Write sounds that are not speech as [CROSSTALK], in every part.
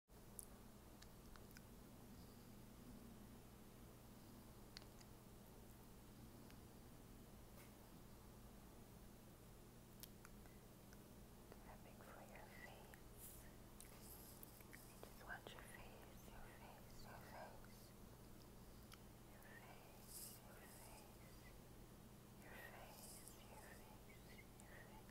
Grabbing for your face. Just watch your face, your face, your face. Your face, your face. Your face, your face, your face.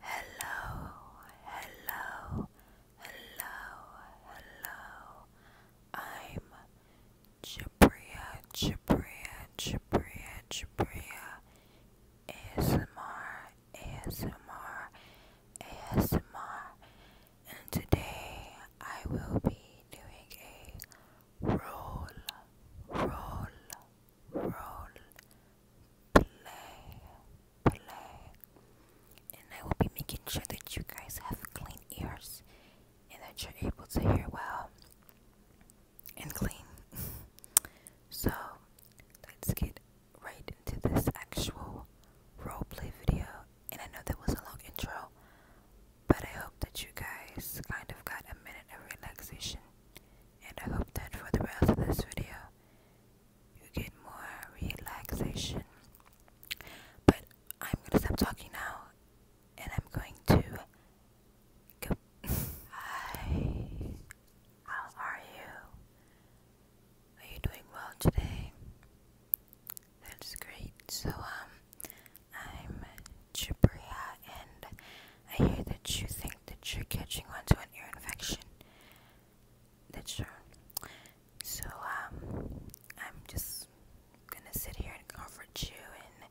Hello, hello, hello, hello. I'm Jabria, Jabria, Jabria, Jabria, ASMR, ASMR, ASMR, and today I will be doing a roll, roll, roll, play, play, and I will be making sure that you guys have clean ears and that you're able to hear well and clean. so let's get right into this actual roleplay video. And I know that was a long intro, but I hope that you guys kind of got a minute of relaxation. And I hope that for the rest of this video, you get more relaxation. But I'm going to stop talking now and I'm going to Hi. How are you? Are you doing well today? That's great. So um I'm Jabria and I hear that you think that you're catching on to an ear infection. That's true. So um I'm just gonna sit here and comfort you and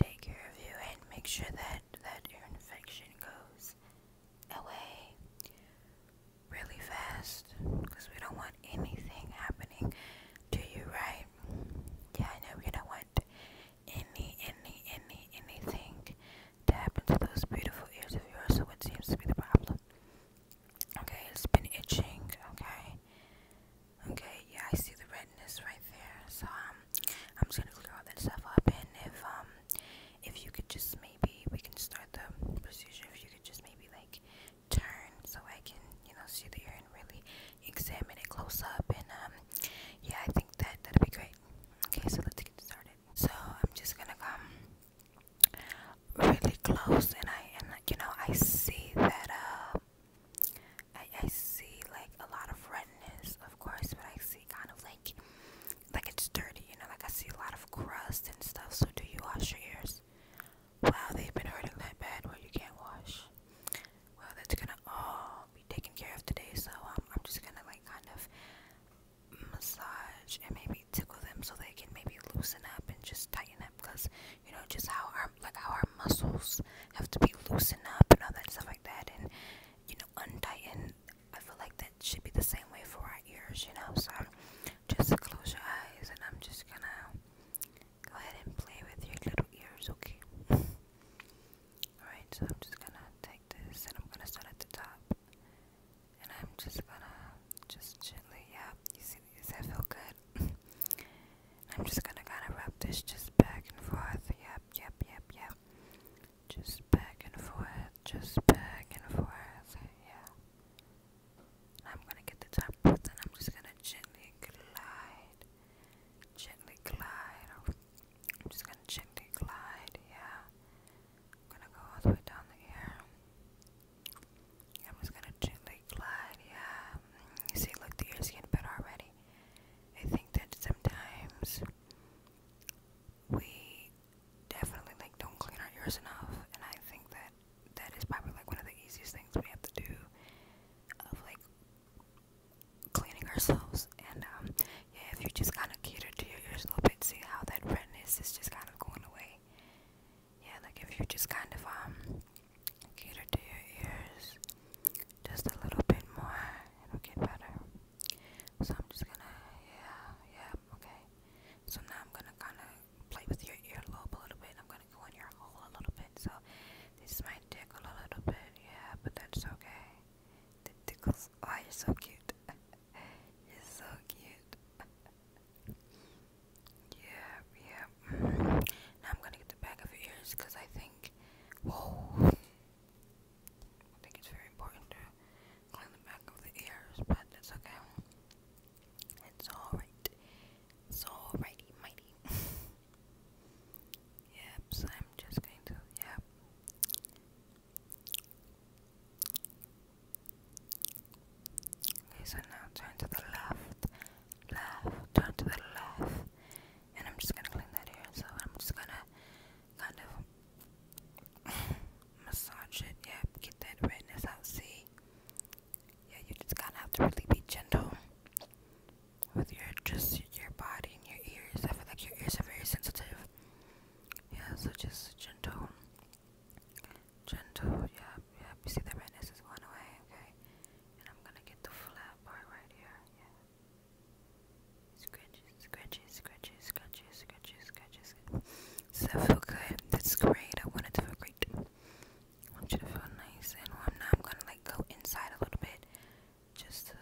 take care of you and make sure that that your infection goes away really fast because we don't want anything happening to you right yeah I know we don't want any any any anything to happen to those beautiful ears of yours so what seems to be the problem okay it's been itching okay Okay, yeah, I see the redness right there. So um, I'm just gonna clear all that stuff up, and if um, if you could just maybe we can start the procedure. If you could just maybe like turn so I can you know see the urine really examine it close up, and um, yeah, I think that that'd be great. Okay, so let's get started. So I'm just gonna come really close, and I and you know I see that uh I, I see like a lot of redness, of course, but I see kind of like like it's dirty, you know, like I see a lot of crust and stuff. So do you wash your ears? Wow, they've been hurting that bad where you can't wash. Well, that's gonna all be taken care of today, so um, I'm just gonna like kind of massage and maybe tickle them so they can maybe loosen up and just tighten up because you know just how our like how our muscles have to be loosened up and all that stuff like that and you know untighten. i feel like that should be the same way for our ears you know so just close your eyes and i'm just gonna go ahead and play with your little ears okay [LAUGHS] all right so i'm just gonna take this and i'm gonna start at the top and i'm just gonna just gently yeah you see does that feel good I'm just gonna kind of rub this just back and forth. Yep, yep, yep, yep. Just back and forth, just back and forth. Yeah. I'm gonna get the top part and I'm just gonna gently glide. Gently glide. I'm just gonna gently glide, yeah. I'm gonna go all the way down the air. I'm just gonna gently very glad, yeah. See, look, the ears getting better already. I think that sometimes we definitely like don't clean our ears enough, and I think that that is probably like one of the easiest things we have to do of like cleaning ourselves. And um, yeah, if you just kind of cater to your ears a little bit, see how that redness is just kind of going away yeah, like if you just kind of um cater to your ears just a little bit more, it'll get better. So I'm just gonna, yeah, yeah, okay. So now I'm gonna kind of play with your earlobe a little bit. I'm gonna go in your hole a little bit. So this might tickle a little bit, yeah, but that's okay. The tickles. Oh, you're so cute. [LAUGHS] you're so cute. [LAUGHS] Yeah, yeah. Now I'm gonna get the back of your ears because I think, whoa, I think it's very important to clean the back of the ears, but that's okay. It's alright. It's alrighty, mighty. [LAUGHS] yep, so I'm just going to, yep. Okay, so now turn to the left, left, turn to the left, and I'm just gonna clean that hair. So I'm just gonna kind of massage it. Yep, get that redness out. See, yeah, you just gotta have to really be gentle with your just your body and your ears. I feel like your ears are very sensitive. Yeah, so just gentle. Gentle, yeah, yeah. You see the redness is going away, okay? And I'm gonna get the flat part right here, yeah. Scratchy, scratchy, scratchy, scratchy, scratchy, scratchy, Does that feel good? That's great. I want it to feel great. I want you to feel nice and Now I'm gonna like go inside a little bit just to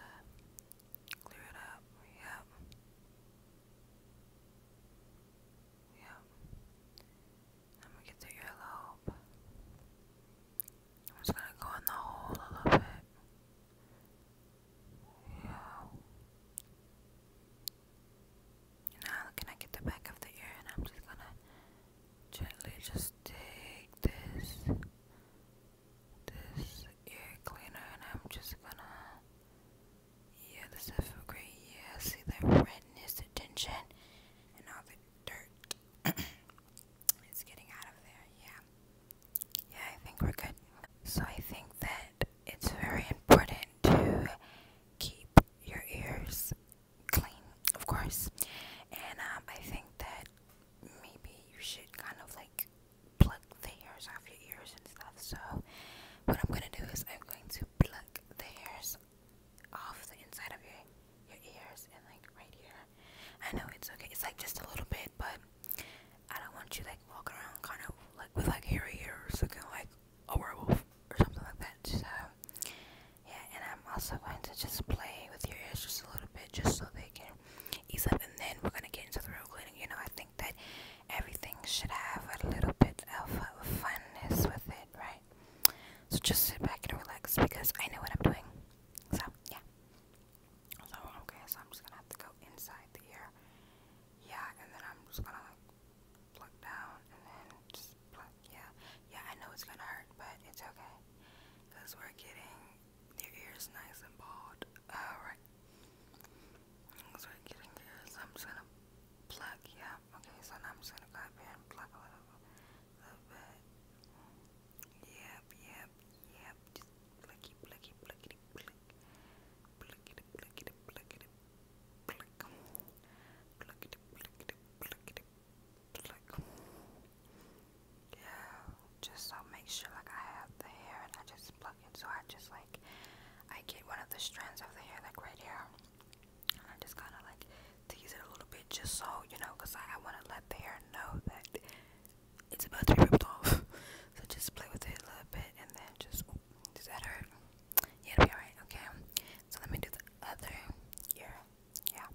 clear it up. Yep. Yep. I'm get the earlobe. I'm just gonna go in the hole a little bit. Yeah. now can I get the back of the ear and I'm just gonna gently just take this this ear cleaner and I'm just gonna yeah, the seventh grade. Yeah, see that redness, the tension, and all the dirt. [COUGHS] it's getting out of there. Yeah. Yeah, I think we're good. So I think that it's very important to keep your ears clean, of course. And um, I think that maybe you should kind of like pluck the hairs off your ears and stuff. So what I'm gonna do is I'm going to pluck the hairs off the inside of your your ears and like right here. I know it's okay. It's like just a little bit, but I don't want you like walking around kind of like with like hairy ears looking like a werewolf or something like that. So yeah, and I'm also going to just play with your ears just a little bit just so they can ease up and then we're gonna get into the real glam you know, I think that everything should have a little bit of uh, funness with it, right? So just sit back and relax because I know what I'm doing. So, yeah. So, okay, so I'm just gonna have to go inside the ear. Yeah, and then I'm just gonna pluck down and then just pluck. Yeah, yeah, I know it's gonna hurt, but it's okay because we're getting your ears nice and bald. Alright, I'm just gonna pluck, yeah. Okay, so now I'm just gonna go up and pluck a little, little bit. Yep, yep, yep. Just plucky, plucky, pluckity, pluck. Pluckity, pluckity, pluckity, pluck. Pluckity, pluckity, pluckity, pluck. Yeah, just so make sure like I have the hair and I just pluck. So I just like, I get one of the strands of the hair, like right here, and I just kind of like tease it a little bit, just so you know, cause I, I want to let the hair know that it's about to be ripped off. [LAUGHS] so just play with it a little bit, and then just does that hurt? it'll be alright. Okay. So let me do the other ear. Yeah.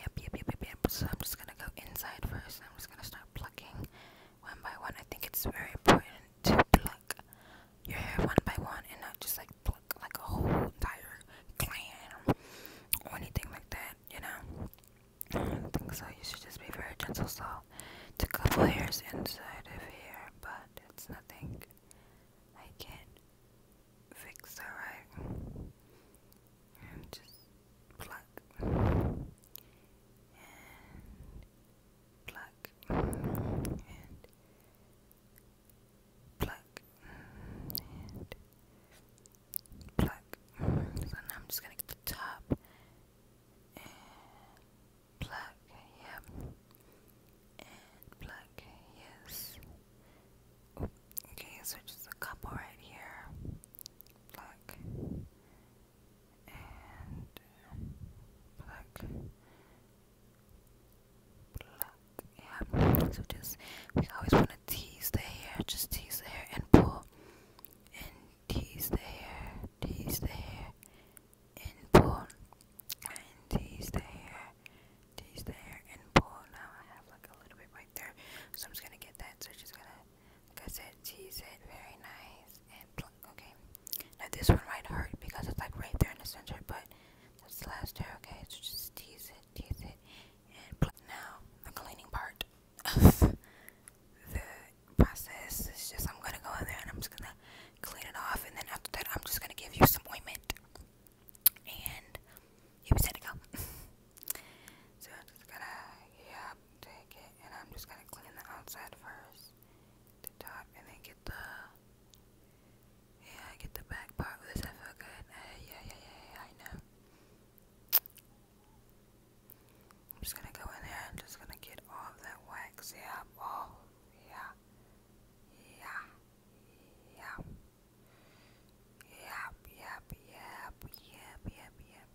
yep, yep, yep, yep. So I'm just gonna go inside first. I'm just gonna start plucking one by one. I think it's very important to pluck your hair one by one and not just like pluck like a whole entire clan or anything like that, you know. I don't think so. You should just be very gentle. So it's a couple hairs inside of here, but it's nothing I can't fix, alright? And just pluck Black and pluck and pluck and pluck. So now I'm just gonna get the top and pluck, yep, and pluck, yes. okay, so just a couple right here. Pluck and pluck, um, pluck. Yeah. So just we always want to tease the hair, just tease the hair and pull, and tease the hair, tease the hair, and pull, and tease the hair, tease the hair and pull. Now I have like a little bit right there, so I'm just gonna get that. So just gonna because it sees it very nice and okay. Now this one might hurt because it's like right there in the center, but that's the last hair, okay? So just tease it, tease it, and pluck. Now the cleaning part of the process is just I'm gonna go in there and I'm just gonna clean it off, and then after that I'm just gonna give you some ointment, and you'll be set to go. [LAUGHS] so I'm just gonna yeah take it, and I'm just gonna clean the outside first. top, and then get the. Yeah, get the back part with this. feel good. Uh, yeah, yeah, yeah, yeah, I know. I'm just gonna go in there and just gonna get all that wax. Yeah, oh, yeah, yeah, yeah. Yep, yep, yep, yep, yep, yep.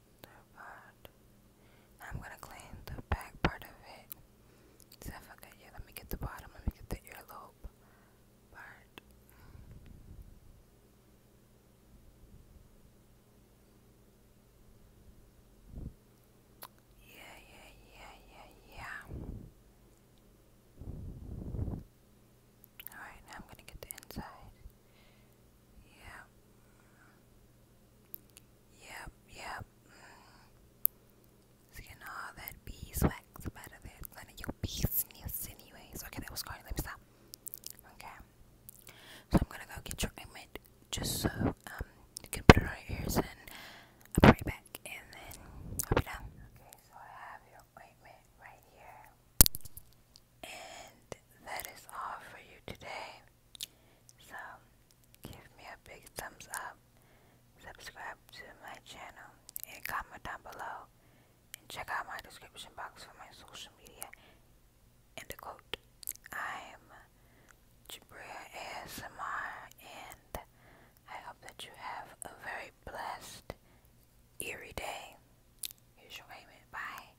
I'm gonna clean the back part of it. So I forgot, yeah, let me get the bottom, let me get the earlobe part. Yeah, yeah, yeah, yeah, yeah. Alright, now I'm gonna get the inside. Yeah. Yep, yep. So you know that beeswax about of there. None of your business anyways. Okay, that was going. Let me stop. Okay. So I'm gonna go get your ointment just so um you can put it on your ears and I'll be right back and then I'll be done. Okay, so I have your ointment right here. And that is all for you today. So, give me a big thumbs up, subscribe to my channel, and comment down below. And check out my description box for my social media. And the quote, I am Jabria ASMR, and I hope that you have a very blessed, eerie day. Here's your payment. Bye.